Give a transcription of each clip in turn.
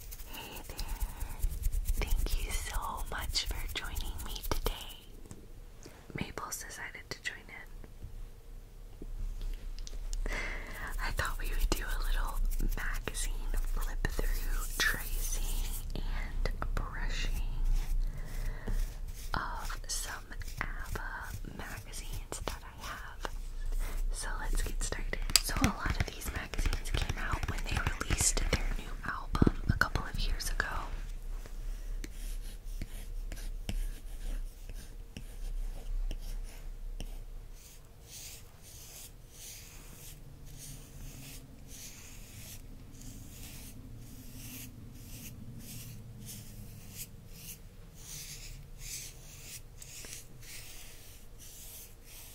Hey there! Thank you so much for joining me today. Maple's decided to join in. I thought we would do a little magazine flip through tracing and brushing of some ABBA magazines that I have. So let's get started. So, a lot of these came out when they released their new album a couple of years ago.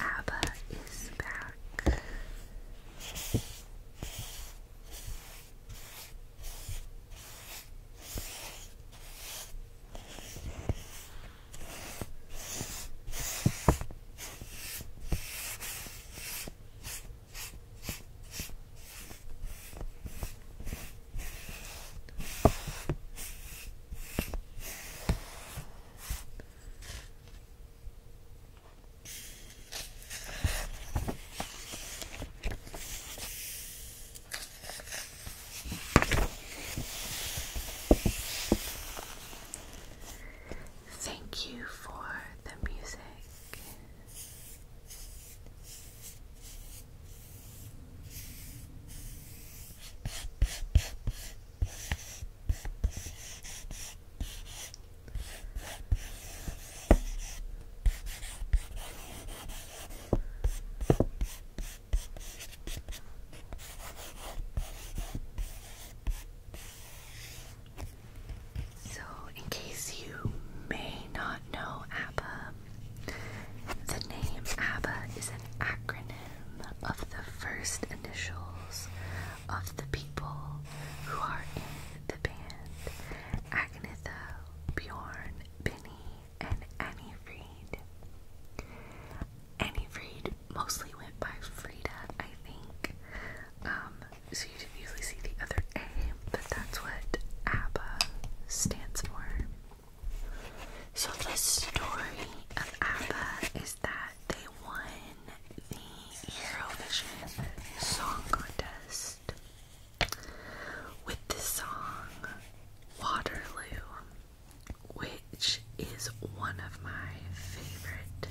Abba is back. Thank you for the music. So, in case you may not know ABBA, the name ABBA is an acronym of the first initials of the people who are in the band Agnetha, Bjorn, Benny, and Annie Fried. Annie Fried mostly went by Frida, I think. Um, so you didn't usually see the other A, but that's what ABBA stands for. So the story of ABBA is that they won the Eurovision Song Contest with the song Waterloo, which is one of my favorite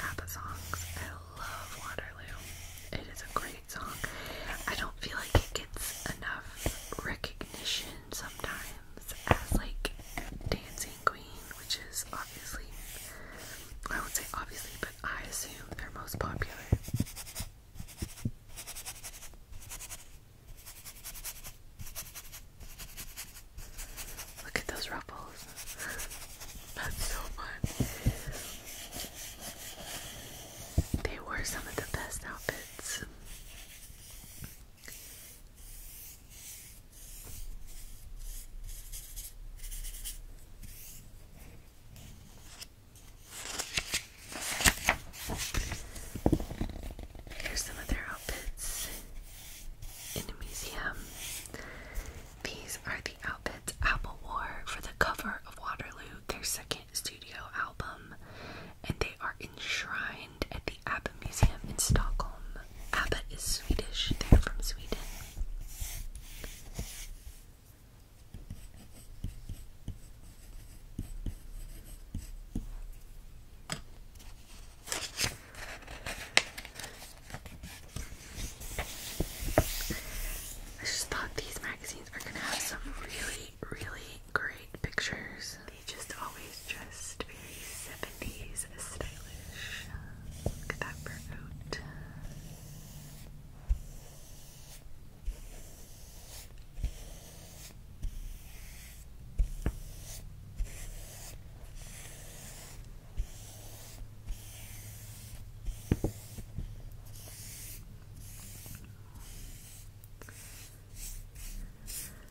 ABBA songs. I love Waterloo. It is a great song. I don't feel like it gets enough recognition sometimes as like dancing queen, which is obviously I would say obviously, but I assume they're most popular. Look at those ruffles. That's so fun. They wore some of the best outfits. Here's some of their outfits in the museum. These are the outfits Apple wore for the cover of Waterloo, their second studio album, and they are enshrined at the Abba Museum in Stockholm. Abba is Swedish, they're from Sweden. I just thought these magazines are gonna have some really, really great pictures. They just always dressed very 70s stylish. Look at that fur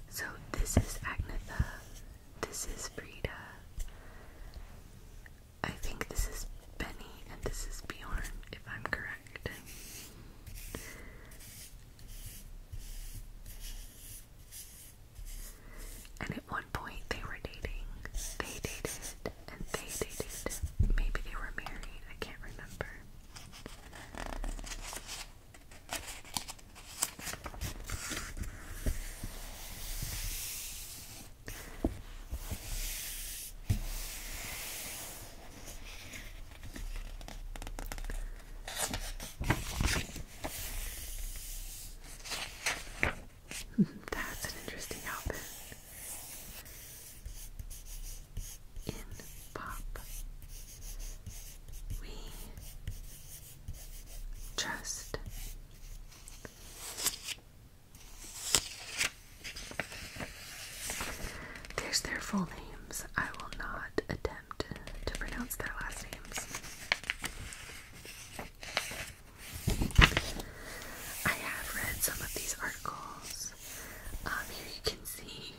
so this is Agnetha. This is Frida. I think this is Benny and this is Bjorn, if I'm correct. And at one point they were dating. They dated and they dated. Maybe they were married. I can't remember. That's an interesting outfit. In pop we trust. There's their full names. I will not attempt to pronounce their last names. I have read some of these articles. Um, here you can see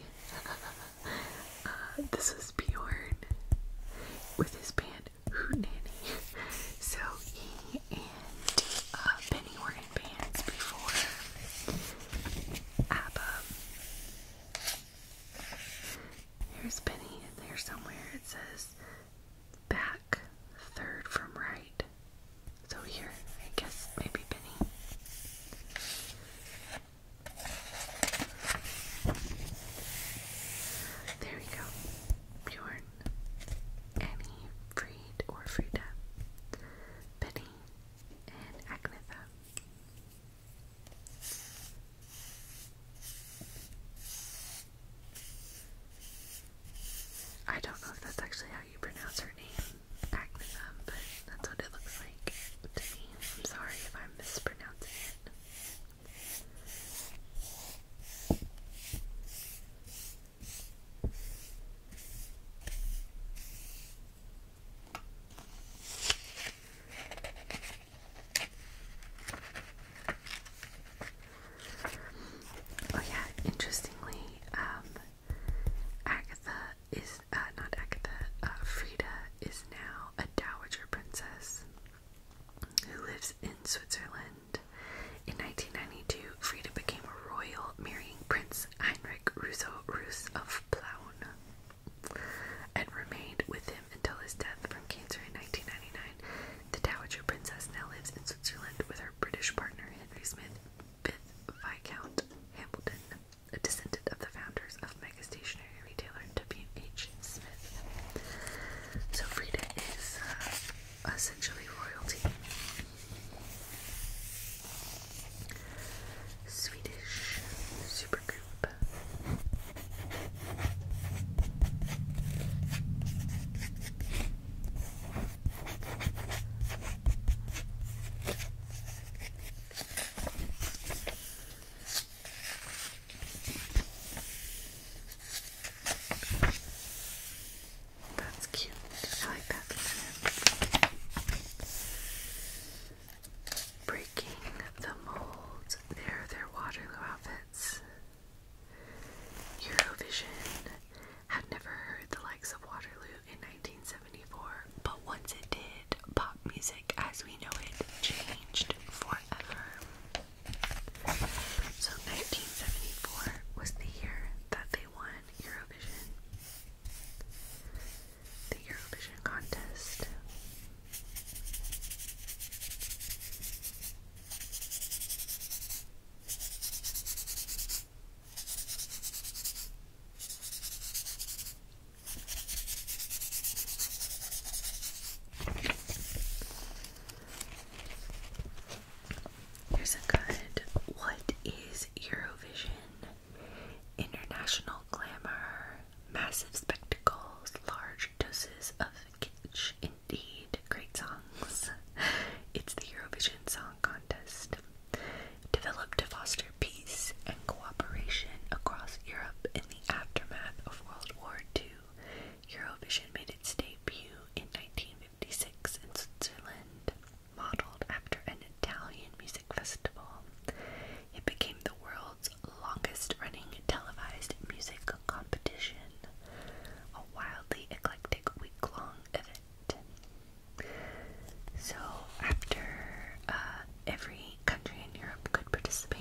uh, this is Bjorn with his band Hoot Nanny. So he and uh, were in bands before ABBA. Here's Benny in there somewhere. It says back, third from right. So here, I guess maybe Benny. There we go. Bjorn, Annie, Freed or and Agnetha. I don't know if that's actually how you pronounce her name acne but that's what it looks like to me. I'm sorry if i mispronounce it. Oh yeah, interestingly, um, Agatha is, uh, not Agatha, uh, Frida is now a dowager princess who lives in Switzerland. In 1992, Frida became a royal, marrying Prince Heinrich Russo roos of Plauen, and remained with him until his death from cancer in 1999. The dowager princess now lives in Switzerland with her British partner Henry Smith, 5th Viscount Hamilton a descendant of the founders of mega stationery retailer W. H. Smith. So Frida is uh, essentially royalty. Swedish supergroup. That's cute. I like that Breaking the mold. There, their Waterloo outfits. Eurovision had never heard the likes of Waterloo in 1974, but once it did, pop music as we know it changed forever. So 1974 was the year that they won Eurovision. The Eurovision contest. Here's a good What is Eurovision? International glamour, massive spectacles, large doses of kitsch, indeed, great songs. it's the Eurovision Song Contest developed to foster peace and cooperation across Europe in the aftermath of World War II. Eurovision made its debut in 1956 in Switzerland, modeled after an Italian music festival. It became the world's longest running televised music competition, a wildly eclectic week long event. So after uh, every country in Europe could participate,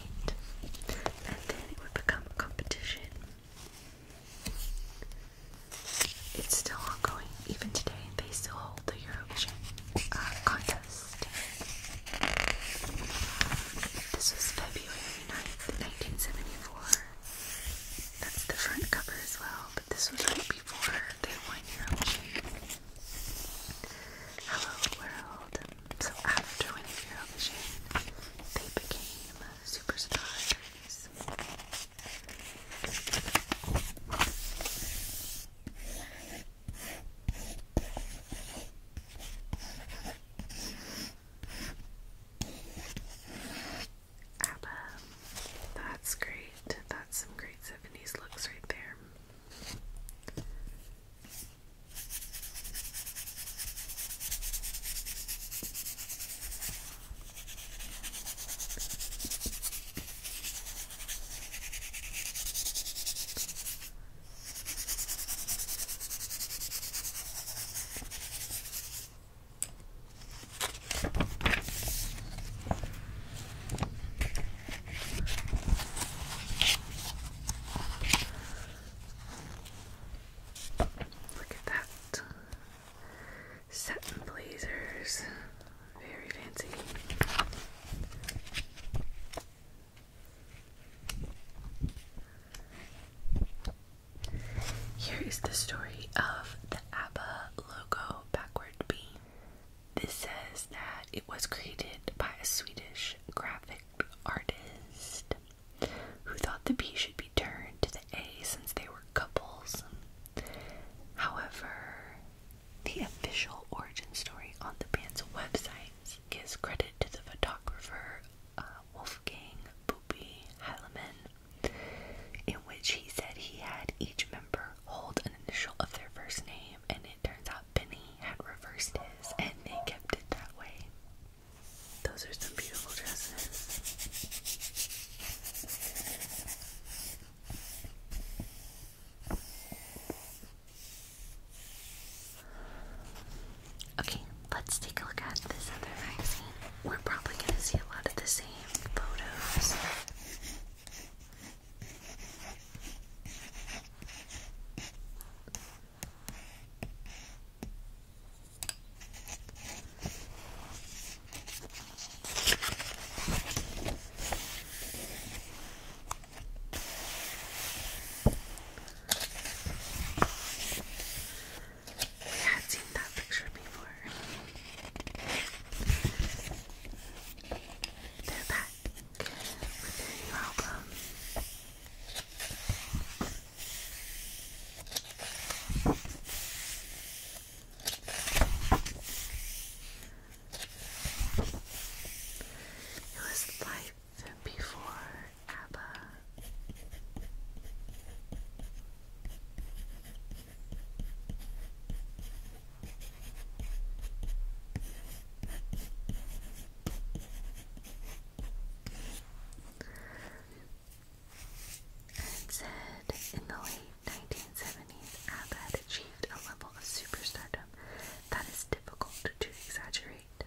and then it would become a competition. It's still ongoing. Even today, they still hold the Eurovision uh, contest. This was February 9th, 1974. That's the front cover as well, but this was right before they wind your own shape. Hello world. So after winning Hero they became superstars. ABBA. That's great. That's some great 70s looks right there. Look at that. Satin blazers. Very fancy. Here is the story of the ABBA logo backwards. This says that it was created by a Swedish graphic artist who thought the B should be turned to the A since they were couples. However, the official origin story on the band's website gives credit to the photographer uh, Wolfgang Bubi Heilman in which he said he had each member hold an initial of their first name, and it turns out Benny had reversed his, and they kept it that way. Those are some beautiful dresses. Okay, let's take a look at this other magazine we're probably going to see a lot of the same photos. I had seen that picture before. They're It was life before ABBA. It said in the late 1970s, ABBA had achieved a level of superstardom that is difficult to exaggerate.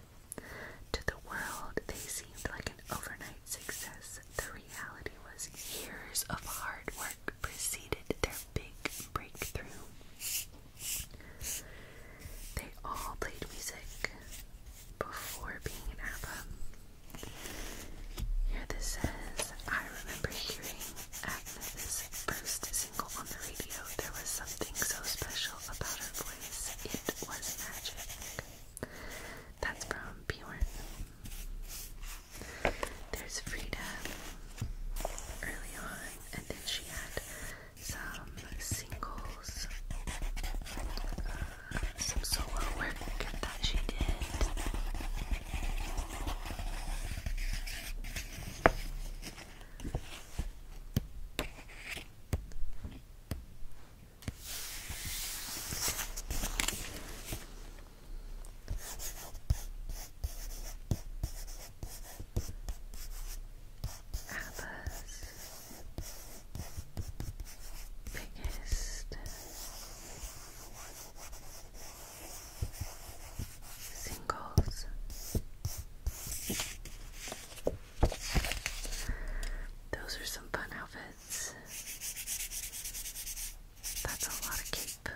To the world, they seemed like an overnight success, reality was years of hard work preceded their big breakthrough. They all played music before being an ABBA. Here this says, I remember hearing Agnes' first single on the radio. There was something so special about her voice. It was magic. That's from Bjorn. There's Frida early on, and then she had some singles, uh, some solo work that she did biggest singles. Those are some fun outfits. That's a lot of cape.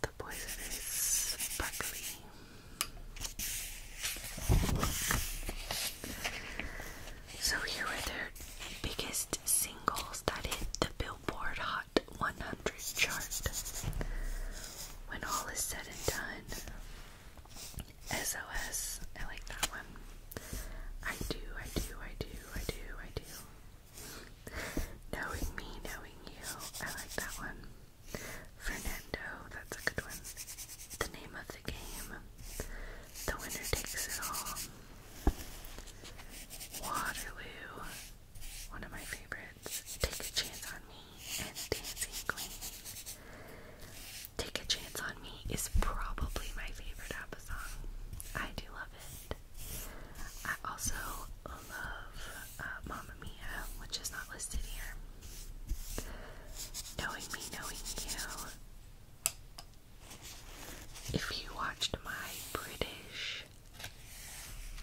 The poison is sparkly. So here are their biggest singles that hit the Billboard Hot 100 chart. When all is said and done, SOS, like that one. I do, I do, I do, I do, I do. Knowing me, knowing you, I like that one. Fernando, that's a good one. The name of the game. The winner takes it all. Waterloo, one of my favorites, Take a Chance on Me and Dancing Queen. Take a Chance on Me is probably my favorite ABBA song. I do love it. I also love uh, Mamma Mia, which is not listed here. Knowing Me, Knowing You. If you watched my British British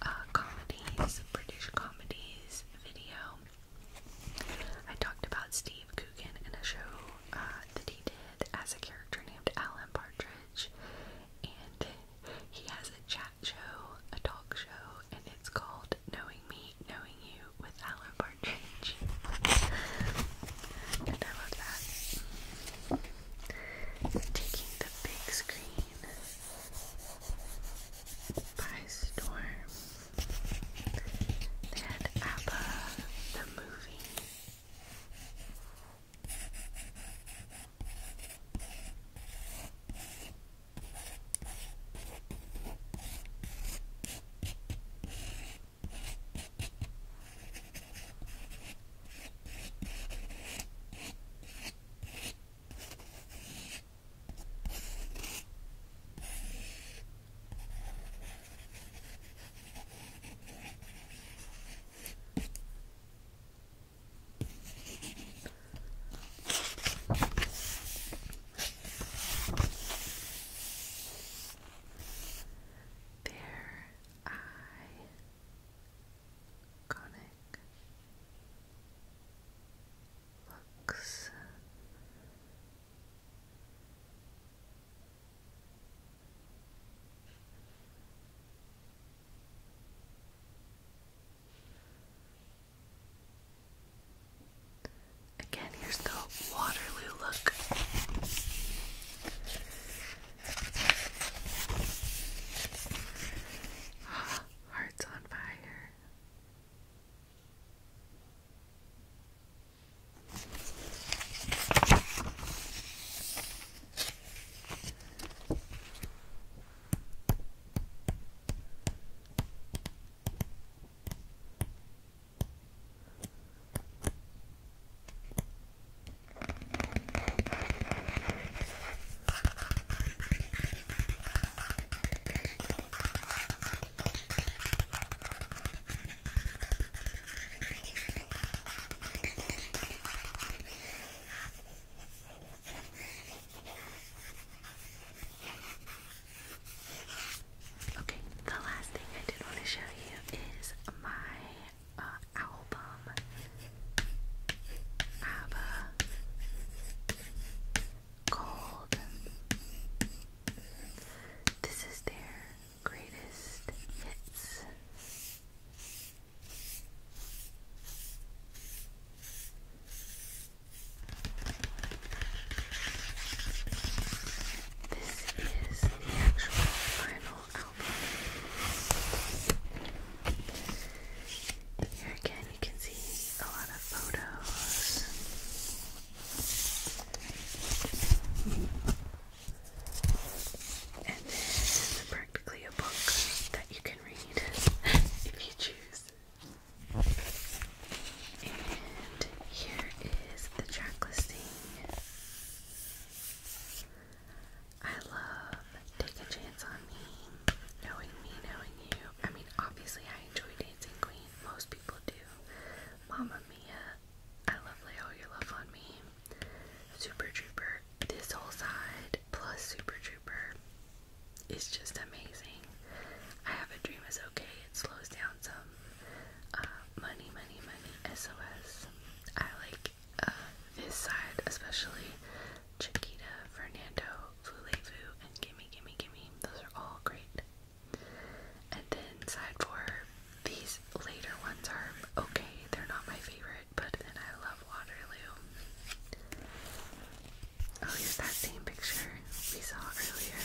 uh, comedies, British comedies video. I talked about Steve Coogan and a show uh, that he did as a character named Alan Partridge, and he has a chat show, a talk show, and it's called Knowing Me, Knowing You with Alan Partridge. and I love that. Taking the big screen by storm. They had ABBA, the movie. There I conic Again, here's the Waterloo look. Hearts on fire. Okay, the last thing I did want to show you is my uh, album. ABBA. Cold. This is their greatest hits. This is the actual final album. And here again, you can see a lot of photos. And then practically a book that you can read if you choose. And here is the track listing. I love Take a Chance on Me, Knowing Me, Knowing You. I mean, obviously, I enjoy Dancing Queen. Most people do. Mama Mia, I love Lay All Your Love on Me, Super Trooper. This whole side plus Super Trooper is just amazing. I Have a Dream is okay. It slows down some. Uh, money, money, money. SOS. I like this uh, side, especially Chiquita, Fernando, Fulevu, and Gimme Gimme Gimme. Those are all great. And then side four, these later ones are okay. They're not my favorite, but then I love Waterloo. Oh, here's that same picture we saw earlier.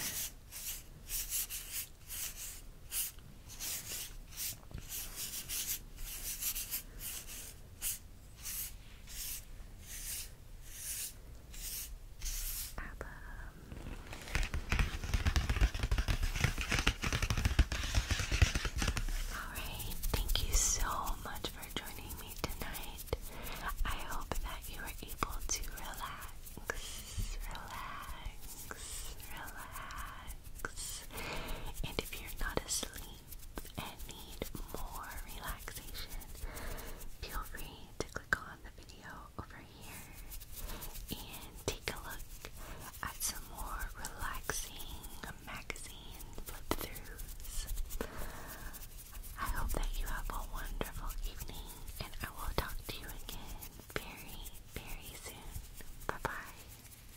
Alright, thank you so much for joining me tonight. I hope that you were able to relax, relax, relax. And if you're not asleep, and need more relaxation, feel free to click on the video over here and take a look at some more relaxing magazine flip throughs. I hope that you have a wonderful evening and I will talk to you again very, very soon. Bye bye.